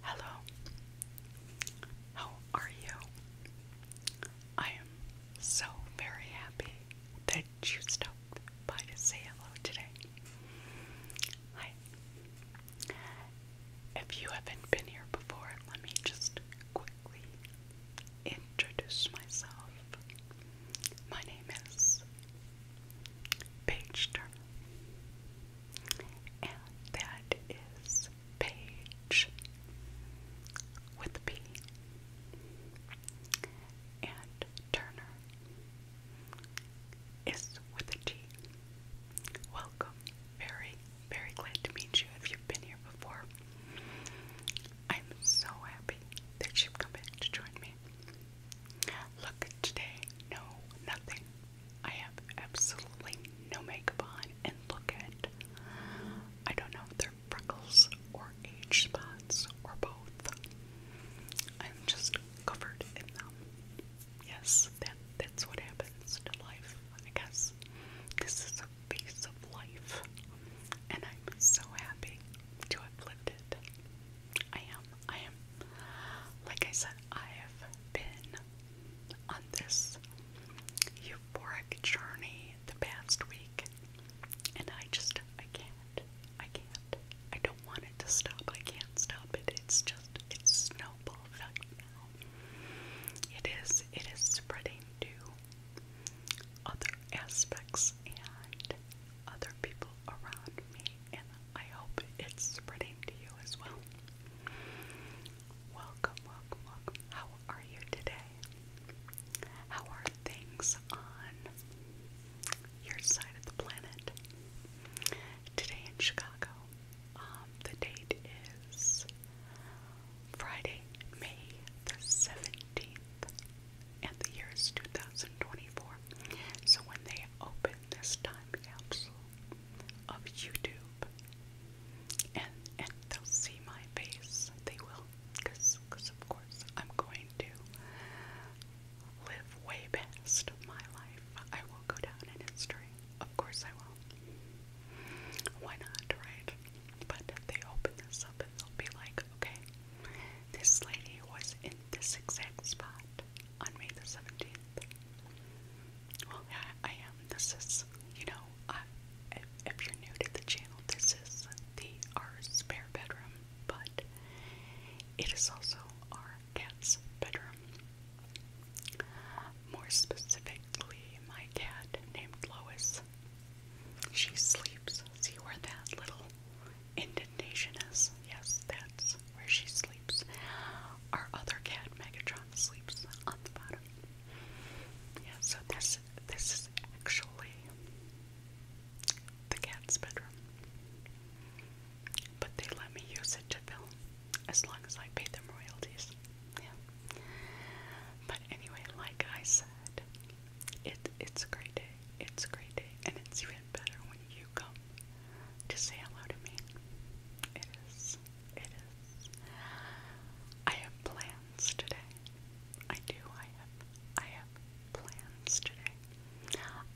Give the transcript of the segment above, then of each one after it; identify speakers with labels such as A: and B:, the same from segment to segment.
A: Hello. How are you? I am so very happy that you stopped by to say hello today. Hi. If you haven't been here before, let me just quickly introduce myself. My name is Paige Turner and that is Page with a P and Turner is with a T. Welcome. Very, very glad to meet you if you been here before. I'm so happy that you've come back to join me. Look, today, no, nothing. I have absolutely no makeup on and look at I don't know if they're freckles or age spots or both. I'm just covered in them. Yes, that that's what happens to life, I guess. This is a phase of life. And I'm so happy to have lived it. I am. I am. Like I said, I have been on this euphoric journey the past week, and I just, I can't. I can't. I don't want it to stop. I can't stop it. It's just, it's snowball effect now. It is, it is spreading to other aspects and other people around me, and I hope it's spreading to you as well. Welcome, welcome, welcome. How are you today? How are things on your side of the planet? Today in Chicago, um, the date is Friday, May the 17th, and the year is 2024. So when they open this time capsule, of YouTube, and and they'll see my face. They will, because of course I'm going to live way past my life. I will go down in history. Of course I will. Why not, right? But if they open this up and they'll be like, okay, this lady was in this exact spot on May the 17th. Well, I am. This is, you know, if, if you're new to the channel, this is the our spare bedroom, but it is also our cat's bedroom. More specifically, my cat named Lois. She sleeps. See where that little indentation is? Yes, that's where she sleeps. Our other cat, Megatron, sleeps on the bottom. Yeah, so this this is actually the cat's bedroom. But they let me use it to film as long as I pay them royalties. Yeah. But anyway, like I said, it it's a great day. It's a great day. And it's even better when you you to say hello to me. It is. It is. I have plans today. I do. I have. I have plans today.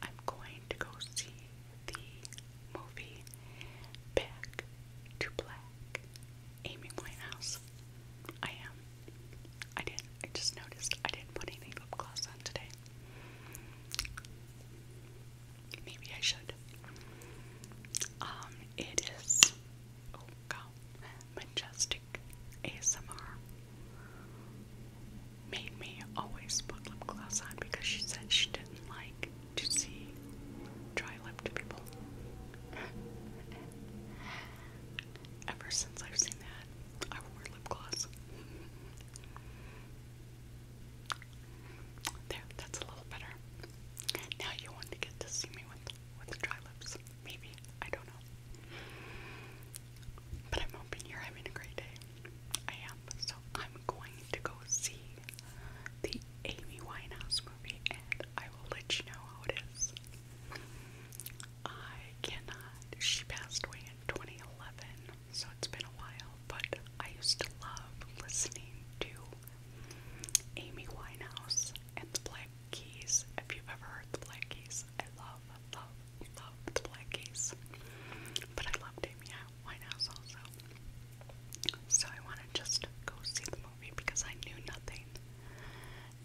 A: I'm going to go see the movie Back to Black. Amy Winehouse. I am. I didn't. I just noticed I didn't put any lip gloss on today. Maybe I should. Um, it is oh god, majestic ASMR. Made me always put lip gloss on because she said she didn't like to see dry lipped people. Ever since I've seen that, I wore lip gloss. There, that's a little better. Now you want to get to see me with with dry lips. Maybe. I don't know. But I'm hoping you're having a great day. I am. So I'm going to go see the Amy Winehouse movie and I will let you know how it is. I cannot. She passed away in 2011 so it's been a while, but I used to love listening to Amy Winehouse and the Black Keys. If you've ever heard the Black Keys, I love, love, love the Black Keys. But I loved Amy Winehouse also. So I want to just go see the movie because I knew nothing,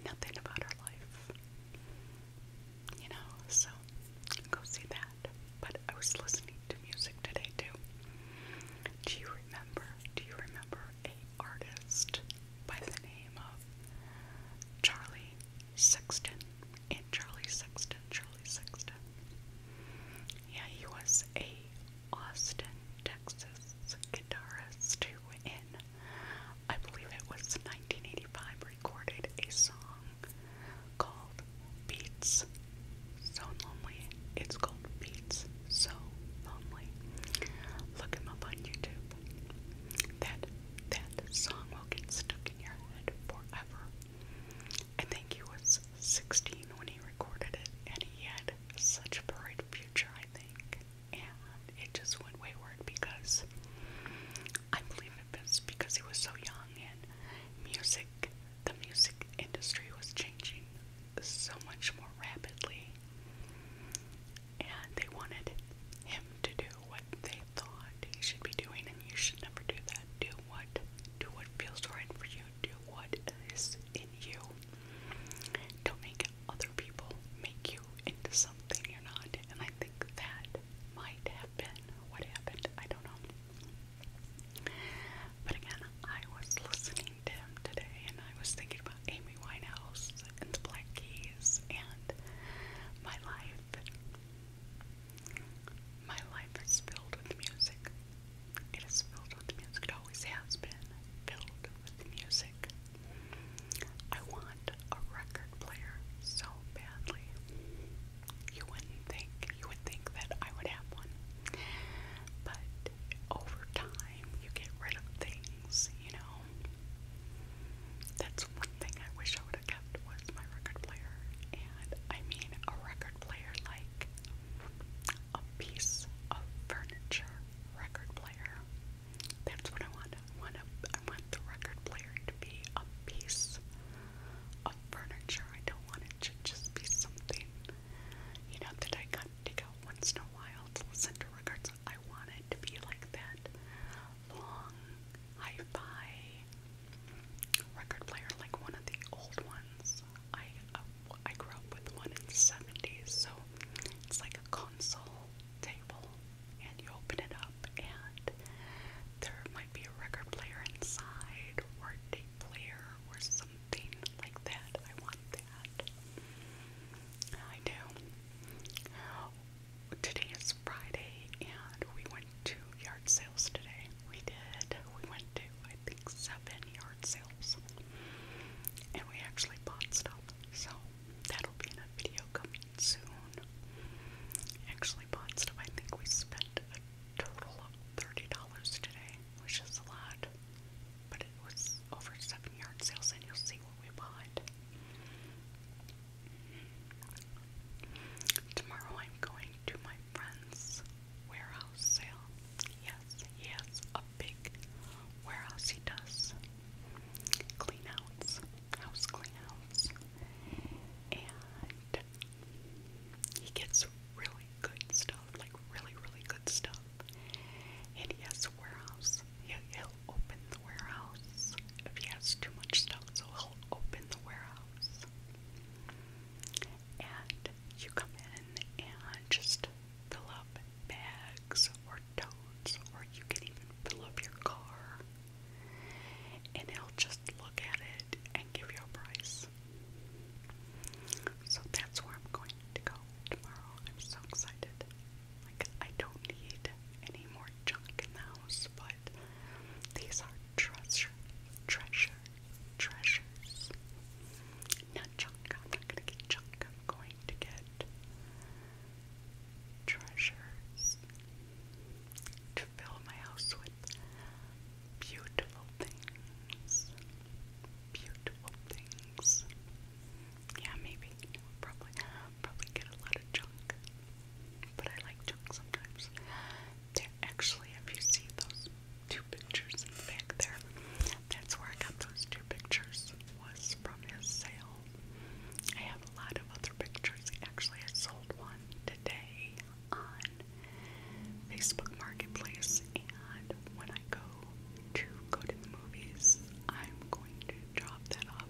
A: nothing about her life you know, so go see that. But I was listening to music today too. Do you remember? Do you remember a artist by the name of Charlie Sexton? And Charlie Sexton, Charlie Sexton. Yeah, he was a Austin, Texas guitarist who in I believe it was 1985 recorded a song called Beats So Lonely. It's called Beats So Lonely. Look him up on YouTube. That that song will get stuck in your head forever. I think he was 16 when he recorded it, and he had such a bright future, I think. And it just went wayward because I believe it was because he was so young and music, the music industry was changing so much more rapidly. And they wanted him to do what they thought he should be doing, and you should never do that. Do what, do what feels right for you. Do what is in you. Don't make other people make you into something you're not. And I think that might have been what happened. I don't know. But again, I was listening to him today and I was thinking about Amy Winehouse and the Black Keys and my life. My life is filled with music. It is filled with music. It always has been filled with music. I want a record player so badly. You wouldn't think you would think that I would have one. But over time you get rid of things, you know. That's one thing I wish I would have kept was my record player. And I mean a record player like a piece of furniture record player. That's what I want. I want, a, I want the record player to be a piece of furniture. I don't want it to just be something, you know, that I got take out once in a while to listen to records. I want it to be like that long hi-fi record player, like one of the old ones. I uh, I grew up with one in the '70s, so it's like a console table, and you open it up and there might be a record player inside or tape player or something like that. I want that. I do. Today is Friday and we went to yard sales today. We did. We went to I think seven yard sales. And we actually bought stuff. So that'll be in a video coming soon. Actually bought stuff. I think we spent total of $30 today, which is a lot, but it was over seven yard sales, and you'll see what we bought. Tomorrow I'm going to my friend's warehouse sale. Yes, he a big warehouse. He does cleanouts, house cleanouts and he gets really good stuff, like really, really good stuff. And he has a warehouse. He'll, open the warehouse if he has too much stuff, so he'll open the warehouse. And you come in and just fill up bags or totes, or you can even fill up your car and he'll just look at it and give you a price. So that's where I'm going to go tomorrow. I'm so excited. Like, I don't need any more junk in the house, but these are treasures, treasure, treasures. Not junk. I'm not going to get junk. I'm going to get treasures fill my house with beautiful things. Beautiful things. Yeah, maybe. Probably, probably get a lot of junk. But I like junk sometimes. There, actually, if you see those two pictures in the back there, that's where I got those two pictures. Was from his sale. I have a lot of other pictures. Actually, I sold one today on Facebook Marketplace, and when I go to go to the movies, I'm going to chop that up.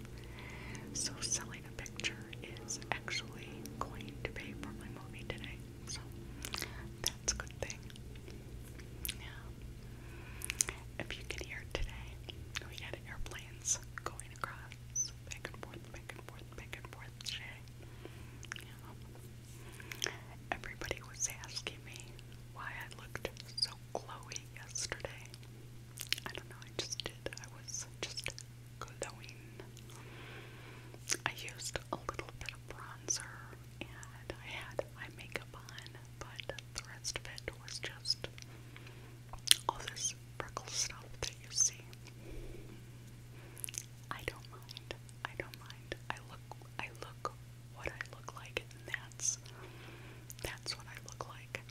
A: So selling a picture is actually going to pay for my movie today. So that's a good thing. Yeah. If you can hear today, we had airplanes going across back and forth, back back and forth today. everybody was asking me why I looked so glowy yesterday. I don't know, I just did. I was just glowing. I used a little bit of bronzer and I had my makeup on, but the rest of it was just all this freckle stuff that you see. I don't mind. I don't mind. I look I look what I look like and that's that's what I look like.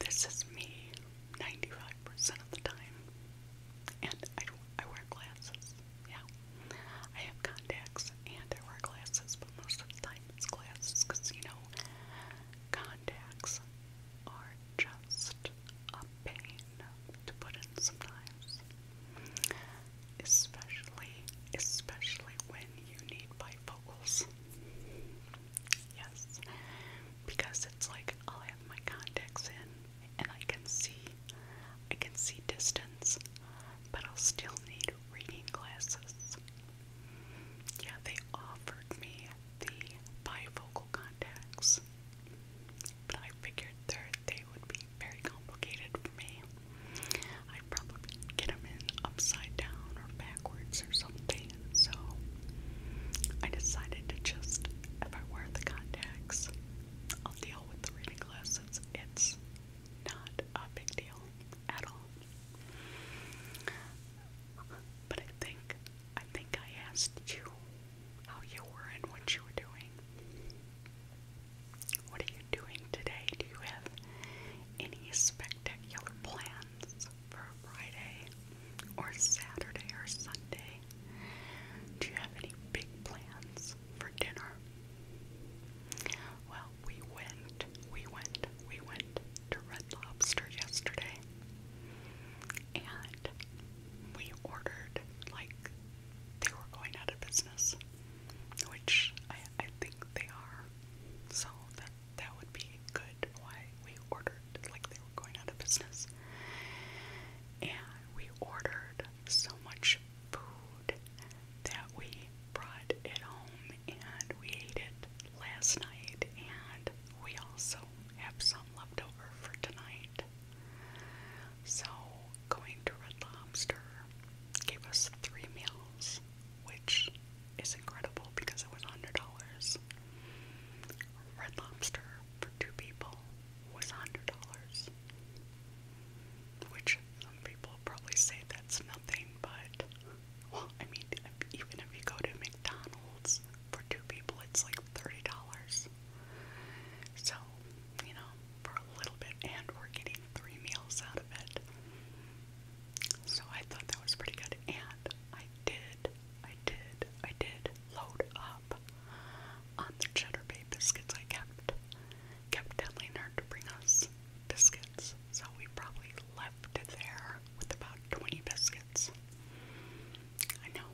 A: This is me 95% of the time. And I, I wear glasses. Yeah. I have contacts and I wear glasses, but most of the time it's glasses because, you know, contacts are just a pain to put in sometimes. Especially, especially when you need bifocals. Yes, because it's like I'll have my contacts in and I can see, I can see distance, but I'll still need reading glasses. Yeah, they offered me the bifocal contacts, but I figured that they would be very complicated for me. I'd probably get them in upside down or backwards or something, so I decided to just, if I wear the contacts, I'll deal with the reading glasses. It's not a big deal at all. But I think I think I asked you how you were and what you were doing. What are you doing today? Do you have any spectacular plans for Friday or Saturday or Sunday? Do you have any big plans for dinner? Well, we went, we went we went to Red Lobster yesterday and we ordered like they were going out of business, which I, I think they are. So that that would be good. Why we ordered like they were going out of business. And we ordered so much food that we brought it home and we ate it last night and we also have some left over for tonight. So, going to Red Lobster gave us three meals, which is incredible because it was $100. Red Lobster for two people was $100, which some people probably say that's nothing, but well, I mean, if, even if you go to McDonald's for two people, it's like thirty dollars. So, you know, for a little bit, and we're getting three meals out of it. So I thought that was pretty good, and I did, I did, I did load up on the cheddar bay biscuits. I kept kept telling her to bring us biscuits, so we probably left it there with about 20 biscuits. I know.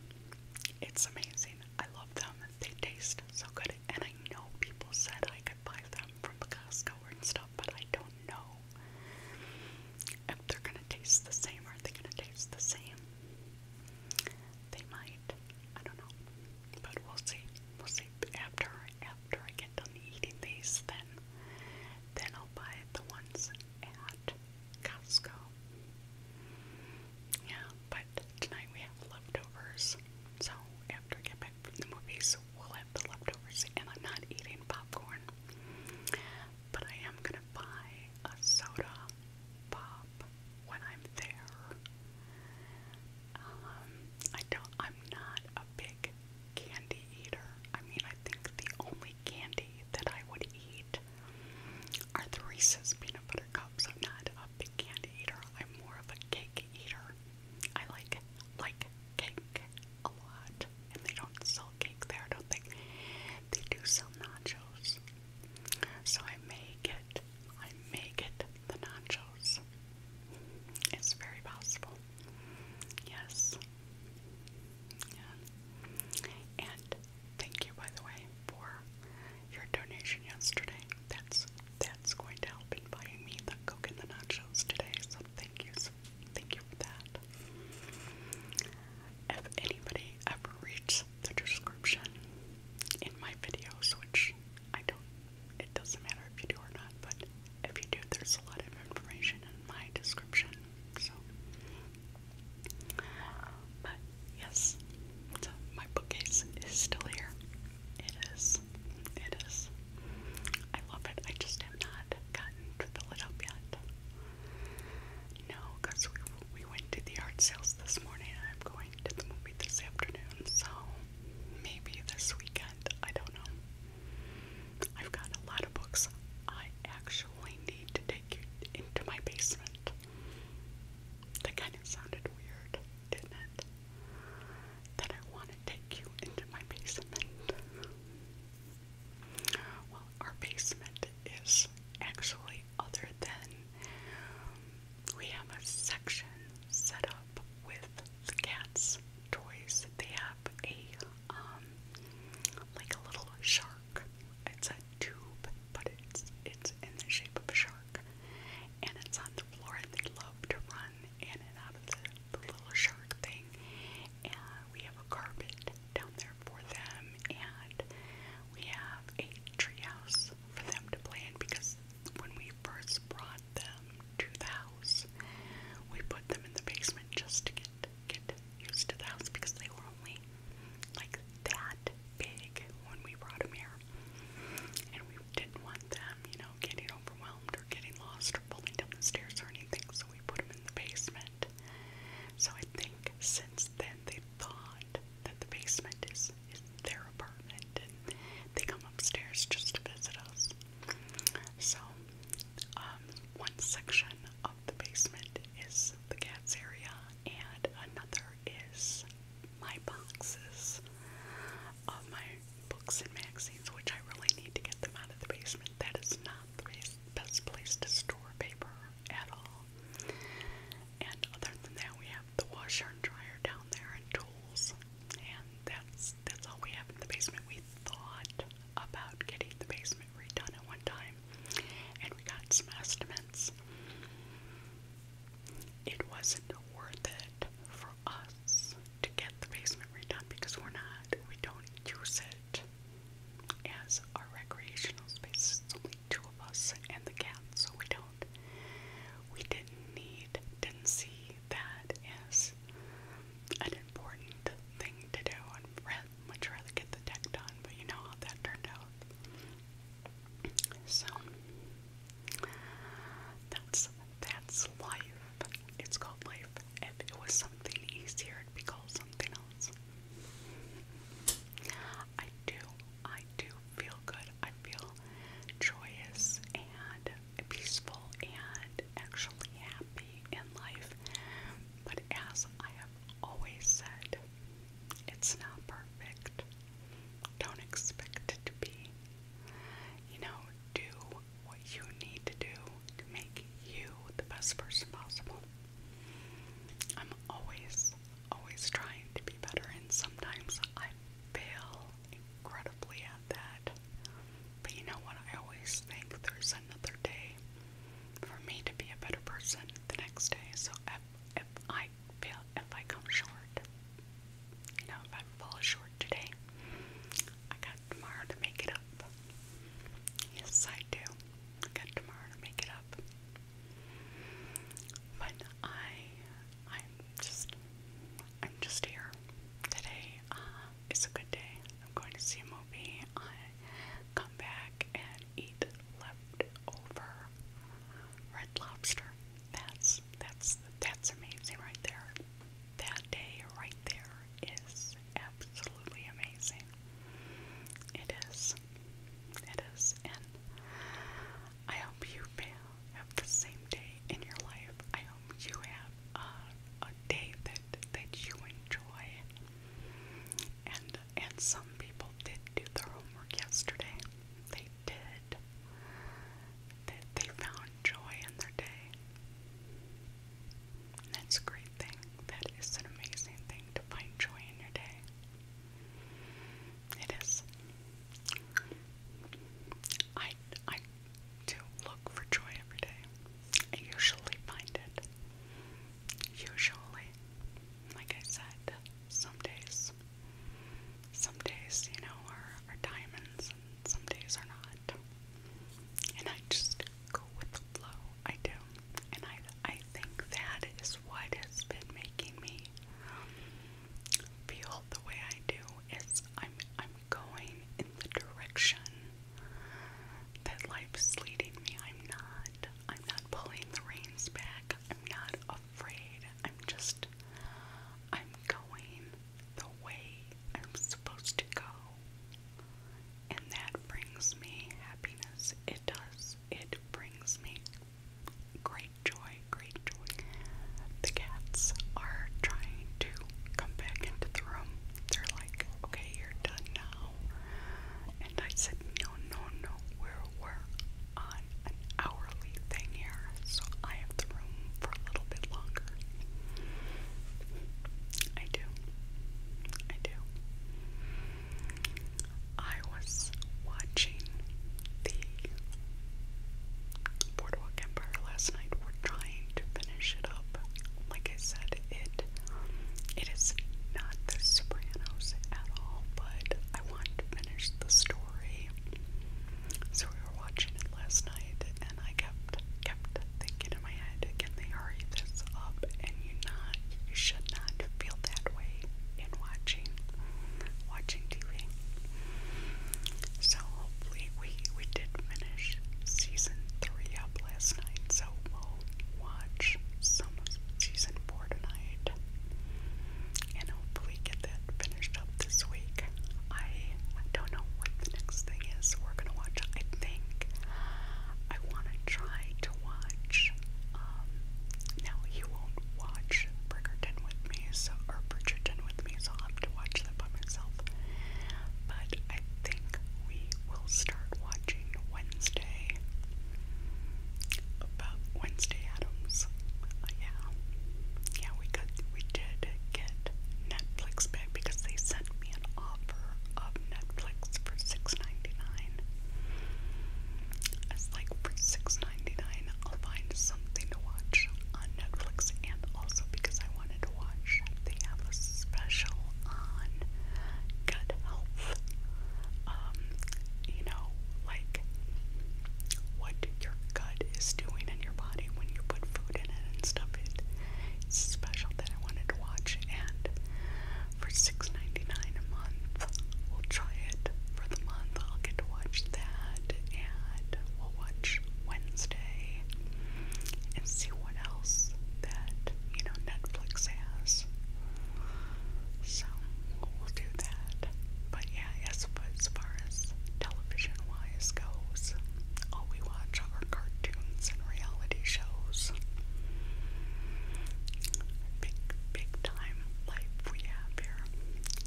A: It's amazing. I love them. They taste so good. And I know people said I could buy them from the Costco and stuff, but I don't know if they're going to taste the same. Are they going to taste the same? They might. I don't know. But we'll see. We'll see. After, after I get done eating these, then, then I'll buy the ones at Costco. Yeah, but tonight we have leftovers. So after I get back from the movies, we'll have the leftovers. And I'm not eating popcorn, but I am gonna buy a soda pop when I'm there. Um, I don't. I'm not a big candy eater. I mean, I think the only candy that I would eat are the Reese's peanut butter cups. I'm not a big candy eater. I'm more of a cake eater. I like like cake a lot, and they don't sell cake there. don't they? they do sell nachos. So I may get I may get the nachos. It's very possible. Yes. And thank you, by the way, for your donation yesterday. That's that's going to help in buying me the Coke and the Nachos today. So thank you, thank you for that. If anybody ever reads the description in my videos, which I don't, it doesn't matter if you do or not, but if you do, there's a lot of information in my description. So, but yes, so my bookcase is still here. It is. It is. I love it. I just have not gotten to fill it up yet. No, because we, we went to the art sales this morning and I'm going to the movie this afternoon, so maybe this weekend. I don't know. I've got a lot of books I actually need to take you into my basement. That kind of sounded weird, didn't it? That I want to take you into my basement. Well, our basement is actually other than we have a section set up with the cats' toys. They have have a um like a little shark. It's a tube, but it's it's in the shape of a shark. And it's on the floor and they love to run in and out of the, the little shark thing. And we have a carpet down there for them and we have a treehouse for them to play in because when we first brought them to the house, we put them in the basement just to get get used to the house because they were only like that big when we brought them here. And we didn't want them, you know, getting overwhelmed or getting lost or pulling down the stairs or anything, so we put them in the basement. So I think since then they thought that the basement is, is their apartment and they come upstairs just to visit us. So um, one section of the basement is the cat's area, and another is my boxes of my books and magazines, which I really need to get them out of the basement. That is not the best place to store paper at all. And other than that, we have the washer and dryer down there and tools, and that's that's all we have in the basement. We thought about getting the basement redone at one time, and we got some estimates. It wasn't worth it for us to get the basement redone because we're not, we don't use it as our recreational space. It's only two of us and the cat, so we don't, we didn't need, didn't see that as is an important thing to do. I'd much rather get the deck done, but you know how that turned out. So that's that's life. It's called life. If it was something easier, it'd be called something else. I do, I do feel good. I feel joyous and peaceful and actually happy in life. But as I have always said, it's not perfect. Don't expect it to be. You know, do what you need to do to make you the best person possible. I'm always, always trying to be better, and sometimes I fail incredibly at that. But you know what? I always think there's another day for me to be a better person the next day. So if, if I fail, if I come short, you know, if I fall short today, I got tomorrow to make it up. Yes, I do. I got tomorrow to make it up. But I, I'm just, I'm just here today. Um, it's a good day. I'm going to see a movie. I come back and eat leftover red lobster. That's that's that's amazing right there. That day right there is absolutely amazing. It is. It is. And I hope you have the same day in your life you have a, a day that that you enjoy. And and some people did do their homework yesterday. They did. they, they found joy in their day. That's a great thing. That is an amazing thing to find joy in your day. It is. I I to look for joy every day. I usually find it. Usually. Like I said, some days. Some days, you know, are, are diamonds and some days are not. And I just go with the flow. I do. And I, I think that is what making me feel the way I do. It's I'm I'm going in the direction that life's leading me. I'm not. I'm not pulling the reins back. I'm not afraid. I'm just, I'm going the way I'm supposed to go. And that brings me happiness. It does. It brings me great joy, great joy. The cats are trying to come back into the room. They're like, okay, you're done now. And I said, no, no, no, we're, we're on an hourly thing here, so I have the room for a little bit longer. I do. I do. I was watching the Boardwalk Empire last night. We're trying to finish it up like I said, it it is not The Sopranos at all, but I want to finish the story. So we were watching it last night, and I kept kept thinking in my head, can they hurry this up? And you not, you should not feel that way in watching watching TV. So hopefully we we did finish season three up last night, so we'll watch some season four tonight, and hopefully get that finished up this week. I don't know what the next thing is we're gonna watch. I think I want to try to watch. Um, now you won't watch Bridgerton with me, so or Bridgerton with me, so I'll have to watch that by myself. But I think we will start watching Wednesday. About Wednesday Adams. Uh, yeah. Yeah, we got we did get Netflix back because they sent me an offer of Netflix for $6.99. like for 6 I'll find something to watch on Netflix and also because I wanted to watch. They have a special on gut health. Um, you know, like what your gut is doing in your body when you put food in it and stuff. It, special that I wanted to watch, and for $6.99 a month, we'll try it for the month. I'll get to watch that, and we'll watch Wednesday and see what else that, you know, Netflix has. So we'll do that. But yeah, as, as far as television wise goes, all we watch are cartoons and reality shows. Big, big time life we have here.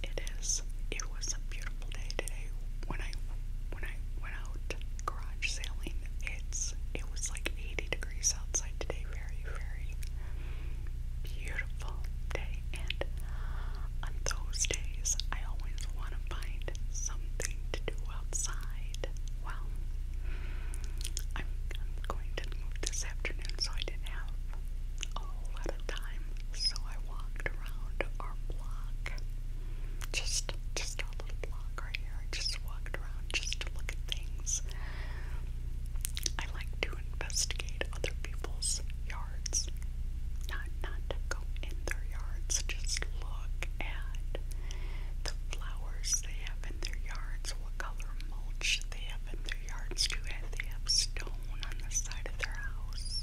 A: It is. It was a beautiful day today when I when I out garage sailing. It's it was like 80 degrees outside today. Very very beautiful day. And on those days, I always want to find something to do outside. Well, I'm going to move this afternoon, so I didn't have a lot of time. So I walked around our block, just just outside little block right here. I just walked around just to look at things. I like to investigate other people's yards. Not not to go in their yards, just look at the flowers they have in their yards, what color mulch they have in their yards. Do they have stone on the side of their house?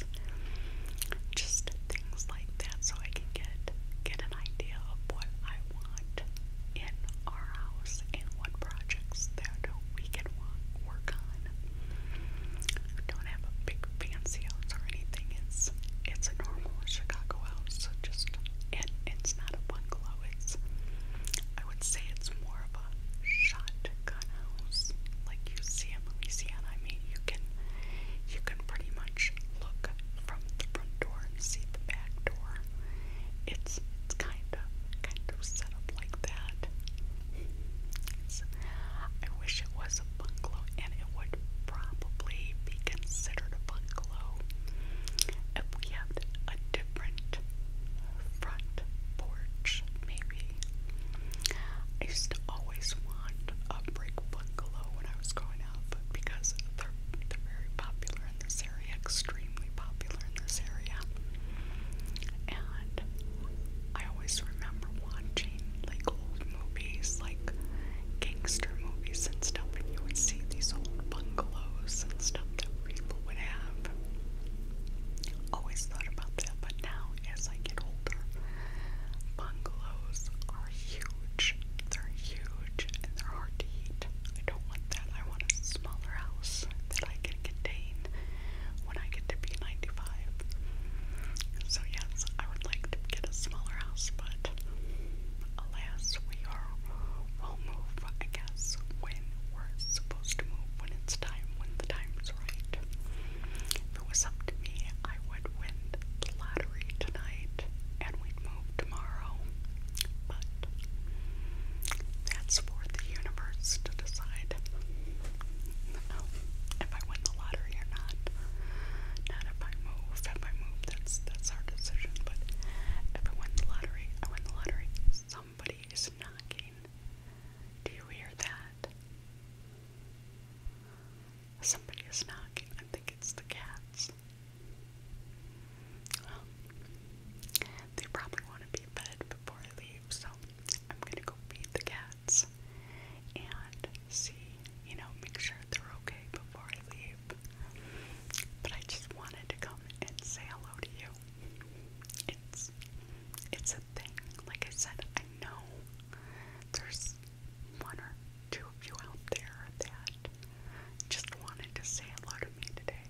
A: Just things like that so I can get get an idea of what I want in our house and what projects that we can want, work on. We don't have a big fancy house or anything. It's it's a normal Chicago house, so just and it's not a bungalow. It's I would say it's more of a shotgun house, like you see in Louisiana. I mean, you can you can pretty much look from the front door and see the back door. It's it's kind of kind of set up like that. I wish it was a bungalow, and it would probably be considered a bungalow if we had a different front porch. Maybe I used to always want a brick bungalow low when I was growing up, but because they're they're very popular in this area, extremely popular in this area. And I always remember watching like old movies, like gangster movies and stuff, and you would see these old bungalows and stuff that people would have. Always thought about that, but now now as I get older. Bungalows are huge. They're huge and they're hard to heat. I don't want that. I want a smaller house that I can contain when I get to be 95. So, yes, I would like to get a smaller house, but alas, we are, we'll move, I guess, when we're supposed to move, when it's time, when the time's right. If it was up to me, I would win the lottery tonight and we'd move tomorrow. But that's for the universe to decide um, if I win the lottery or not. Not if I move. If I move, that's that's our decision. But if I win the lottery, I win the lottery. Somebody is knocking. Do you hear that? Somebody is knocking. I think it's the cats. Um, they probably want to be fed before I leave, so I'm gonna go feed the cats and see, you know, make sure they're okay before I leave. But I just wanted to come and say hello to you. It's it's a thing. Like I said, I know there's one or two of you out there that just wanted to say hello to me today.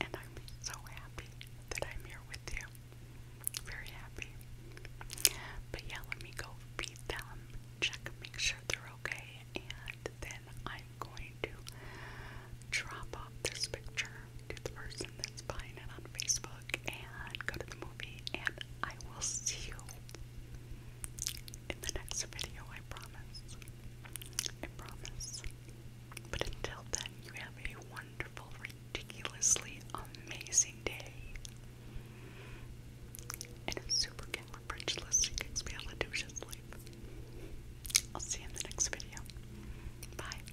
A: And I'm so happy that I'm here with you. Very happy. But yeah, let me go feed them, check, make sure they're okay, and then I'm going to drop off this picture to the person person that's buying it on Facebook and go to the movie. And I will see you in the next video, I promise. I promise. But until then, you have a wonderful, ridiculously amazing day. And it's supercalifragilisticexpialidocious life. I'll see you in the next video. Bye.